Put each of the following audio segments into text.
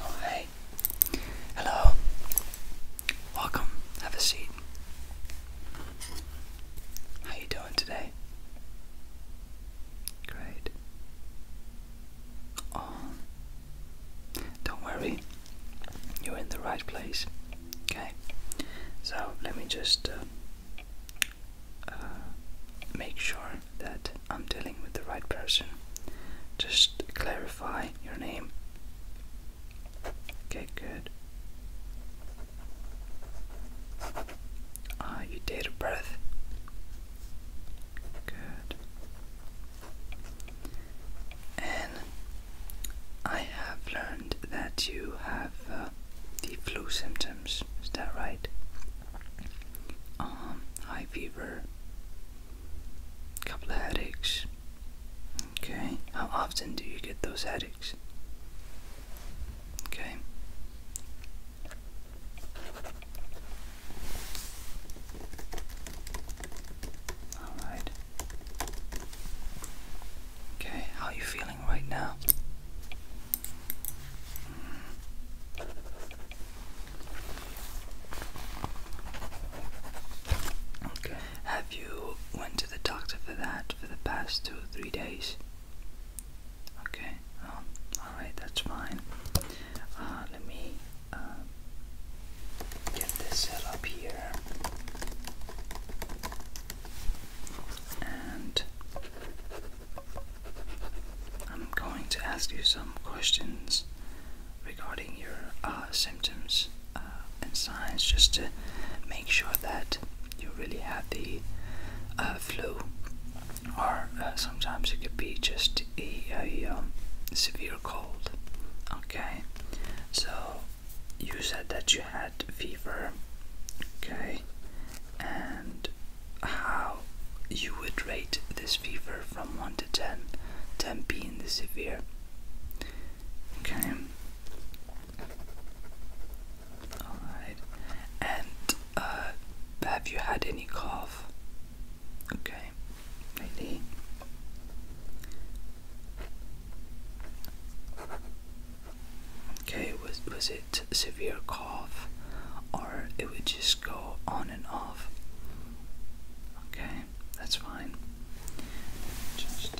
Oh, hey. Hello. Welcome. Have a seat. How you doing today? Great. Oh. Don't worry. You're in the right place. Okay. So, let me just uh, uh, make sure that I'm dealing with the right person. Just clarify your name. Okay, good. Ah, uh, you your date of birth. Good. And I have learned that you have uh, the flu symptoms. Is that right? Um, high fever, couple of headaches. Okay, how often do you get those headaches? Okay. All right. Okay, how you feeling right now. Okay. Have you went to the doctor for that for the past two or three days? Okay. Oh, all right. That's fine. Uh, let me um, get this set up here and I'm going to ask you some questions regarding your uh, symptoms uh, and signs just to make sure that you really have the uh, flu, or sometimes it could be just a, um, severe cold. Okay, so you said that you had fever. Okay, and how you would rate this fever from 1 to 10, 10 being the severe. Okay. Alright. And uh, have you had any cough? Okay. Ready? Okay, was was it severe cough, or it would just go on and off? Okay, that's fine. Just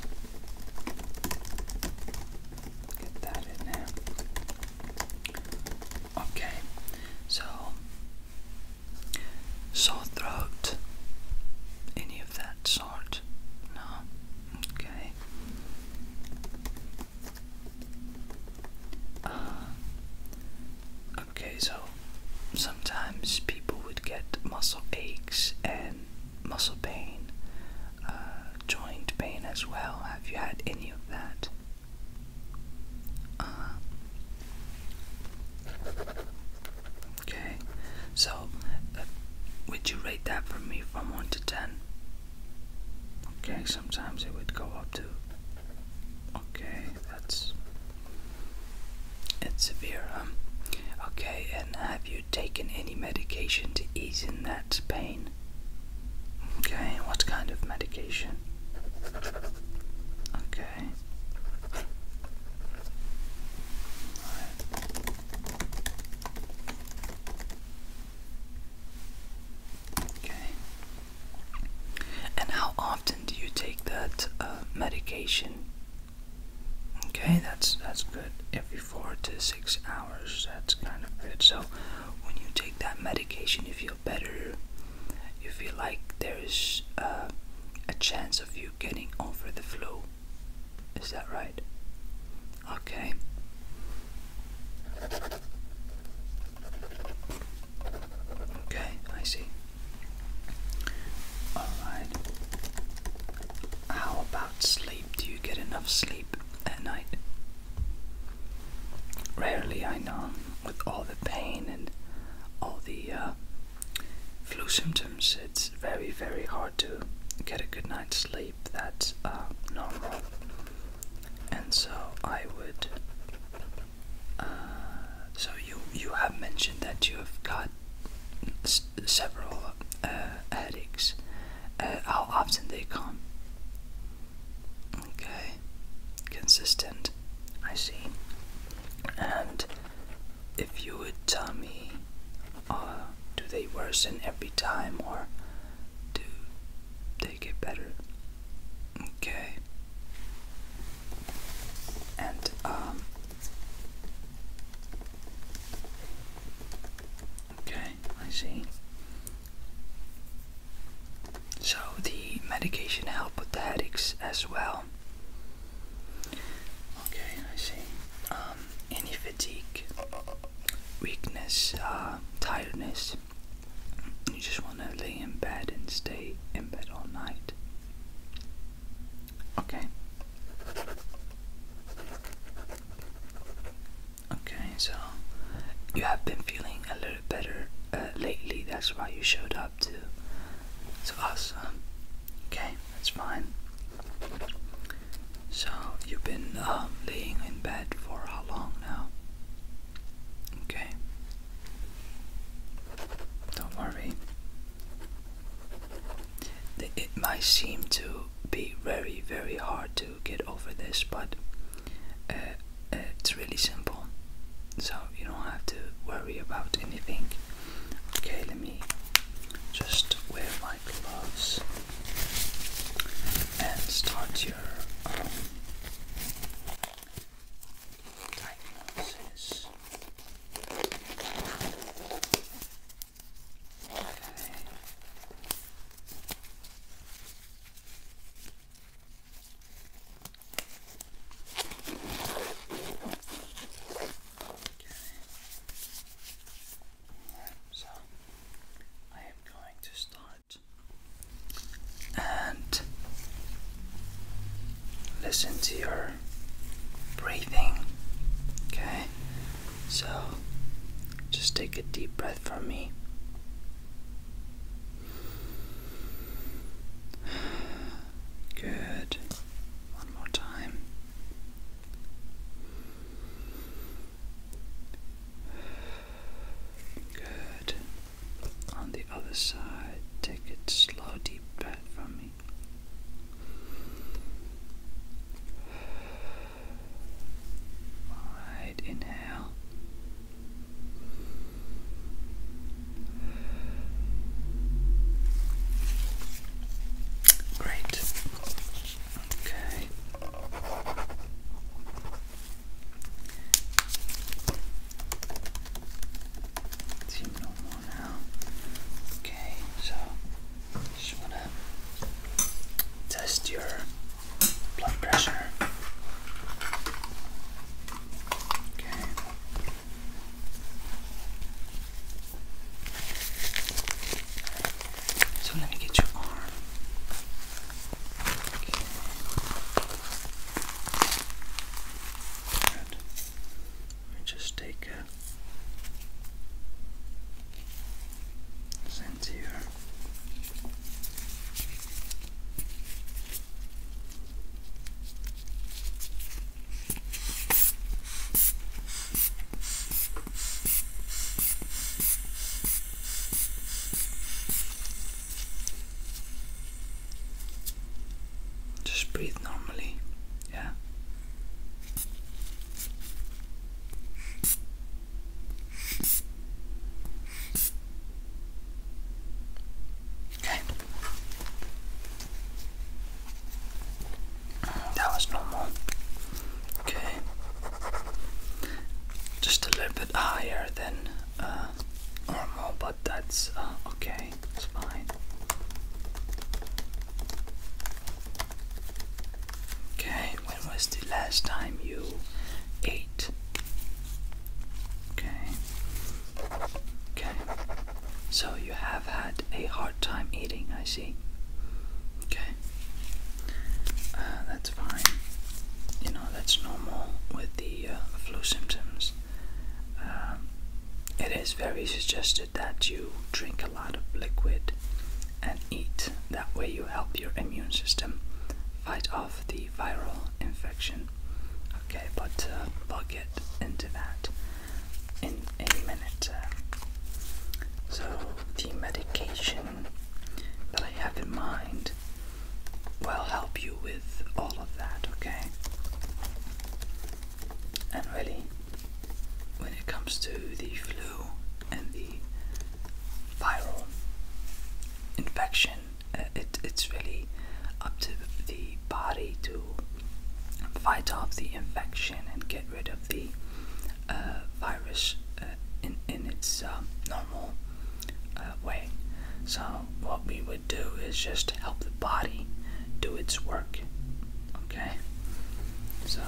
get that in there. Okay, so sore throat, any of that sort? No. Okay. Uh, okay. so sometimes people would get muscle aches and muscle pain, uh, joint pain as well. Have you had any of that? Uh, okay, so would you rate that for me from 1 to 10? Okay, sometimes it would go up to. Okay, that's. It's severe, um, Okay, and have you taken any medication to ease in that pain? Okay, what kind of medication? Okay. Okay. And how often do you take that uh, medication? Okay, that's that's good. Every four to six hours, that's kind of good. So when you take that medication, you feel better. You feel like there is uh, a chance of you getting over the flu. Is that right? Okay. Okay, I see. Alright. How about sleep? Do you get enough sleep at night? Rarely, I know, with all the pain and all the uh, flu symptoms, it's very, very hard to get a good night's sleep that's um, normal. And so I would. Uh, so you you have mentioned that you have got several uh, headaches. Uh, how often they come? Okay, consistent. I see. And if you would tell me uh, do they worsen every time or do they get better? Okay. And um Okay, I see. So the medication helped with the headaches as well. Okay, I see. Um, any fatigue, weakness, uh, tiredness. You just want to lay in bed and stay in bed all night. Okay. Okay, so you have been feeling a little better uh, lately. That's why you showed up to us. Um, okay that's fine. So, you've been um, laying in bed for how long now? Okay. Don't worry. It might seem to be very, very hard to get over this, but uh, uh, it's really simple. So, you don't have to worry about anything. Okay, let me just wear my gloves and start your um, diagnosis so I am going to start and listen to your breathing. Okay, so just take a deep breath from me. Good. One more time. Good. On the other side, take it slow, deep breath from me. Alright, inhale. Great. Okay. Seem normal now. Okay, so just want test your blood pressure. Okay. So let me get your arm. Okay. Let me just take a sense just breathe normally, yeah. Okay. That was normal. Okay. Just a little bit higher than uh, normal, but that's uh, okay. It's fine. Okay, when was the last time you ate? Okay. Okay. So you have had a hard time eating, I see. Okay. Uh, that's fine. You know, that's normal with the uh, flu symptoms. Um, it is very suggested that you drink a lot of liquid and eat. That way, you help your immune system fight off the viral infection. Okay, but we'll uh, get into that in a minute. Um, so, the medication that I have in mind will help you with all of that, okay? And really, when it comes to the flu and the viral infection, uh, it, it's really up to the body to fight off the infection and get rid of the uh, virus uh, in, its uh, normal way. So, what we would do is just help the body do its work. Okay? So,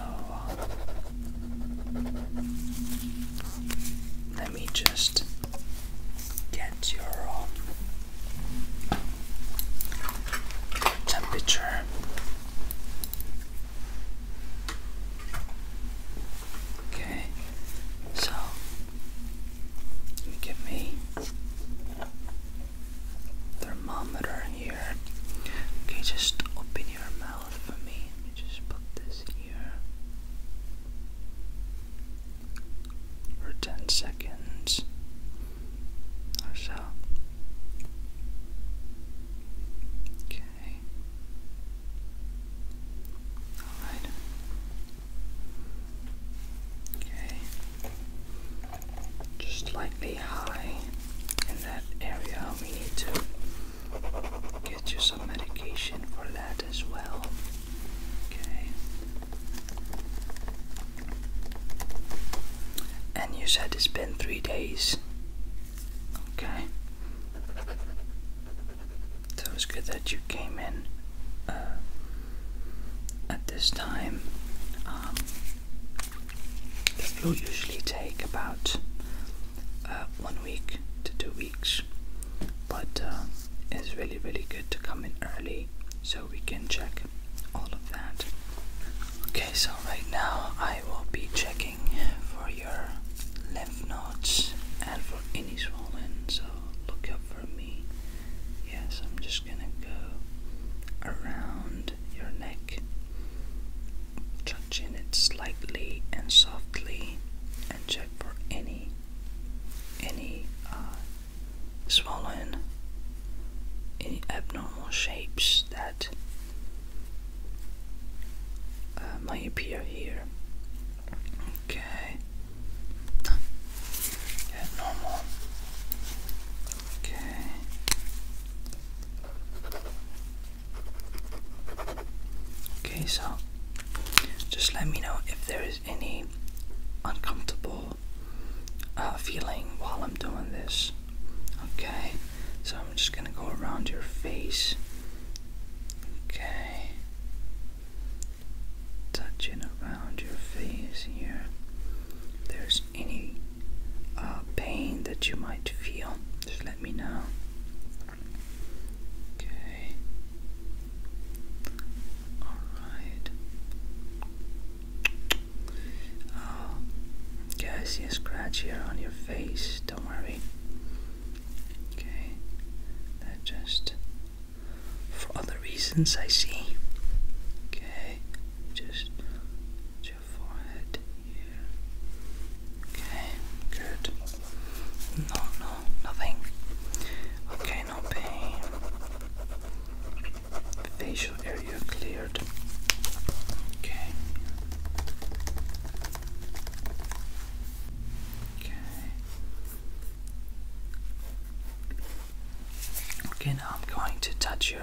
let me just get your. Uh, temperature okay so give me thermometer here okay just open your mouth for me let me just put this here or 10 seconds or so. Okay. Alright. Okay. Just slightly high in that area. We need to get you some medication for that as well. And you said it's been three days. Okay. So it's good that you came in uh, at this time. Um, it usually take about uh, one week to two weeks, but uh, it's really, really good to come in early so we can check all of that. Okay, so right now I will be checking for your lymph nodes and for any swollen. So look up for me. Yes, I'm just gonna go around your neck, touching it slightly and softly, and check for any any uh, swollen any abnormal shapes that uh, may appear here. Okay. normal. Okay. Okay, so just let me know if there is any uncomfortable uh, feeling while I'm doing this. Okay, so I'm just gonna go around your face. Okay, touching around your face here. there's any uh, pain that you might feel, just let me know. Okay, Alright. Oh, okay, I see a scratch here on your face. Don't worry. Okay, that just for other reasons I see. Okay, just your forehead here. Okay, good. No, no, nothing. Okay, no pain. Facial area cleared. Okay. Okay. Okay, now I'm going to touch your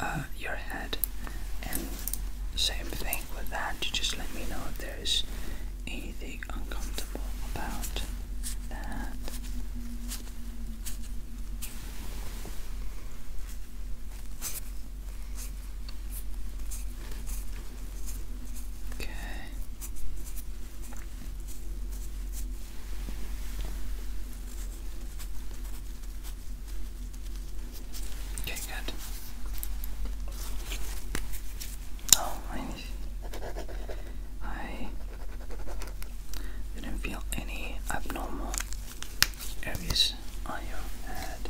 uh, your head, and same thing with that. You just let me know if there is anything uncomfortable about that. Okay. Okay, good. Oh, I I didn't feel any abnormal areas on your head.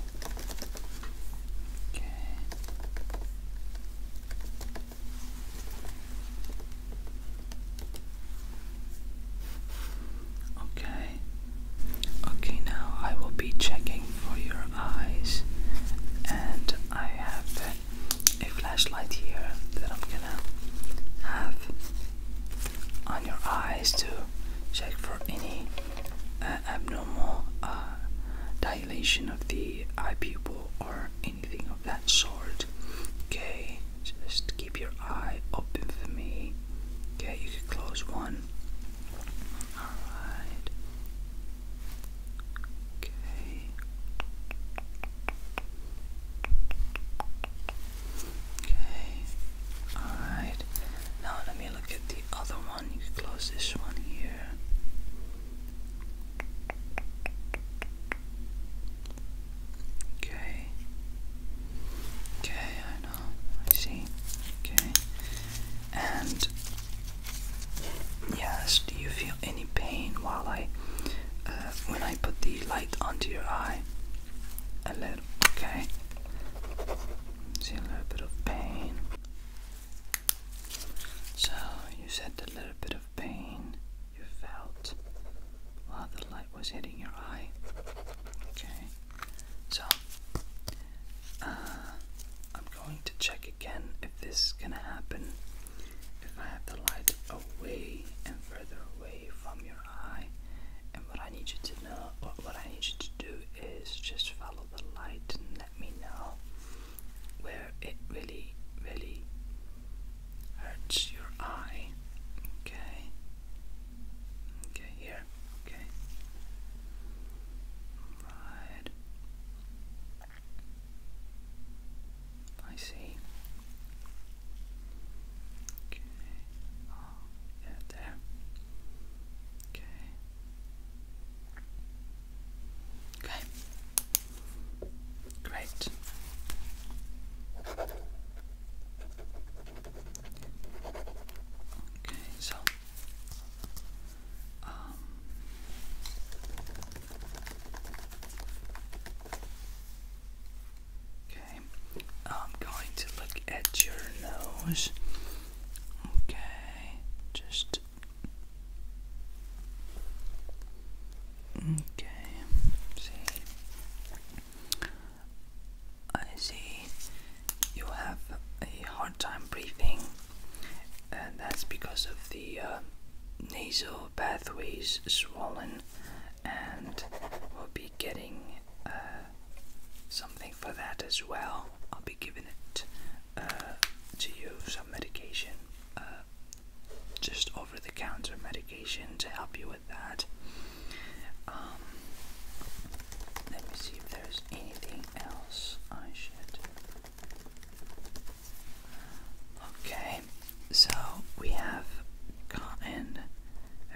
Okay. Okay. Okay, now I will be checking for your eyes, and I have a flashlight here that I'm gonna have on your eyes to check for any uh, abnormal uh, dilation of the eye pupil or anything of that sort. Okay, just keep your eye open for me. Okay, you can close one. Alright. Okay. Okay. Alright. Now let me look at the other one. You close this one here. Okay. Okay, I know. I see. Okay. And Yes. Do you feel any pain while I, uh, when I put the light onto your eye? A little. Okay. See a little bit of pain. So you said a little bit of pain you felt while the light was hitting your eye. Okay. So. Uh, I'm going to check again if this is gonna happen. If I have the light away and further away from your eye, and what I need you to know, what, what I need you to do is just follow the light and let me know where it really, really hurts your eye. Okay. Okay, here. Okay. Right. I see. Okay. Oh, yeah, there. Okay. Okay. Great. Okay, so um, okay, I'm going to look at your nose. Okay, just. Okay, see. I see you have a time breathing, and that's because of the uh, nasal pathways swollen, and we'll be getting uh, something for that as well. I'll be giving it uh, to you some medication, just over the counter medication to help you with that. Um, let me see if there's anything else I should. Okay, so we have gotten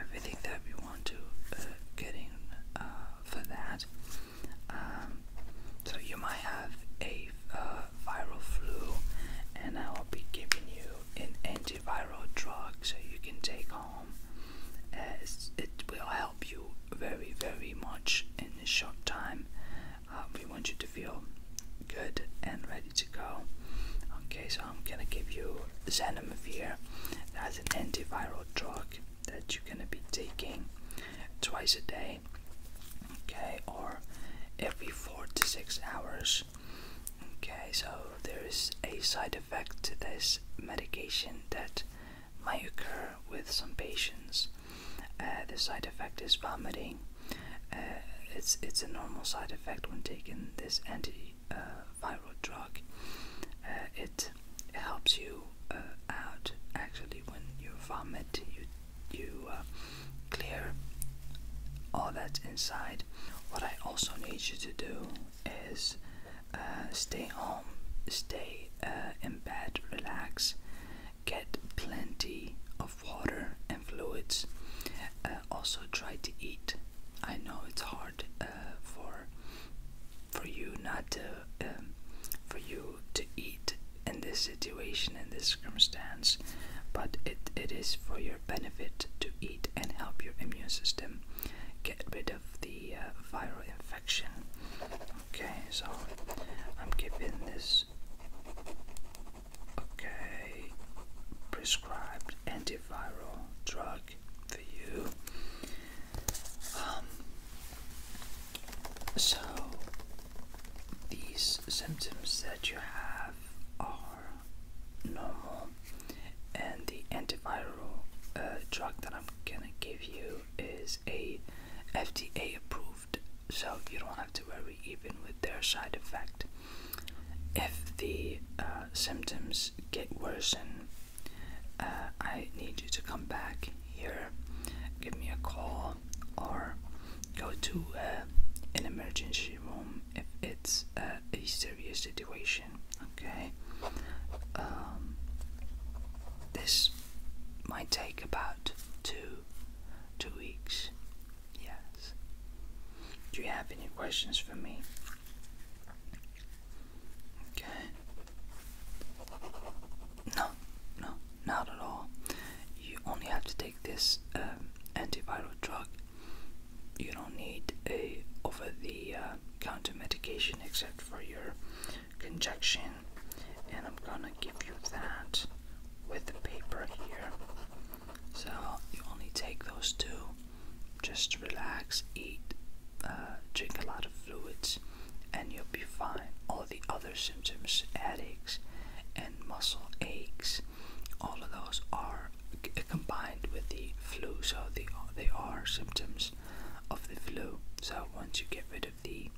everything that we want to uh, uh for that. Um, so you might have a uh, viral flu, and I will be giving you an antiviral drug so you can take home. As it will help you very, very much in this short time. Uh, we want you to feel good and ready to go. Okay, so I'm gonna give you Zanamivir. That's an antiviral drug that you're gonna be taking twice a day. Okay, or every four to six hours. Okay, so there is a side effect to this medication that might occur with some patients. Uh, the side effect is vomiting. Uh, it's it's a normal side effect when taking this antiviral uh, drug. it, helps you uh, out actually when you vomit. You you clear all that inside. What I also need you to do is uh, stay home, stay uh, in bed, relax, get plenty of water and fluids. Uh, also, try to eat. I know it's hard for for you not to um, for you to eat in this situation in this circumstance, but it, it is for your benefit to eat and help your immune system get rid of the uh, viral infection. Okay, so I'm giving this. Okay, prescribed antiviral drug for you. Um, so these symptoms that you have are normal, and the antiviral uh, drug that I'm gonna give you is a FDA approved, so you don't have to worry even with their side effect. If the uh, symptoms get worse, and uh, I need you to come back here, give me a call, or go to uh, an emergency room if it's a serious situation. Okay, um, this might take about two two weeks. Yes. Do you have any questions for me? Okay. No, no, not at all. You only have to take this um, antiviral drug. You don't need a over the uh, counter medication except for your conjunction, and I'm gonna give you that with the paper here. So you only take those two, just relax, eat, uh, drink a lot of fluids, and you'll be fine. All the other symptoms, headaches, and muscle aches, all of those are combined with the flu, so they they are symptoms of the flu. So once you get rid of the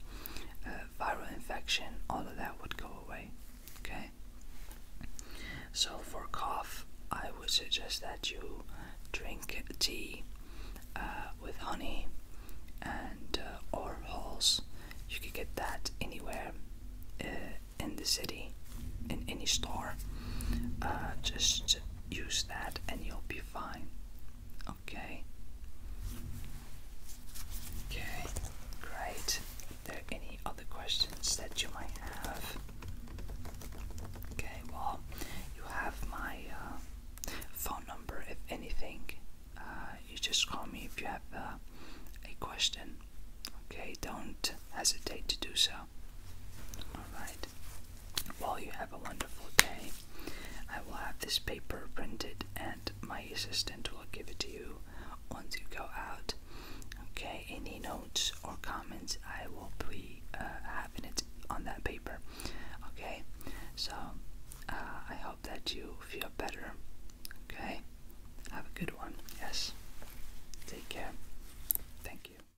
uh, viral infection, all of that would go away. Okay. So for cough, I would suggest that you drink tea uh, with honey and uh, or holes. You could get that anywhere in the city, in any store. just use that and you'll be fine. Okay? Okay, great. Are there any other questions that you might have? Okay, well, you have my uh, phone number if anything. Uh, you just call me if you have uh, a question. Okay, don't hesitate to do so. Alright. Well, you have a wonderful day. I will have this paper printed and my assistant will give it to you once you go out. Okay, any notes or comments I will be uh, having it on that paper. Okay, so uh, I hope that you feel better. Okay, have a good one. Yes, take care. Thank you.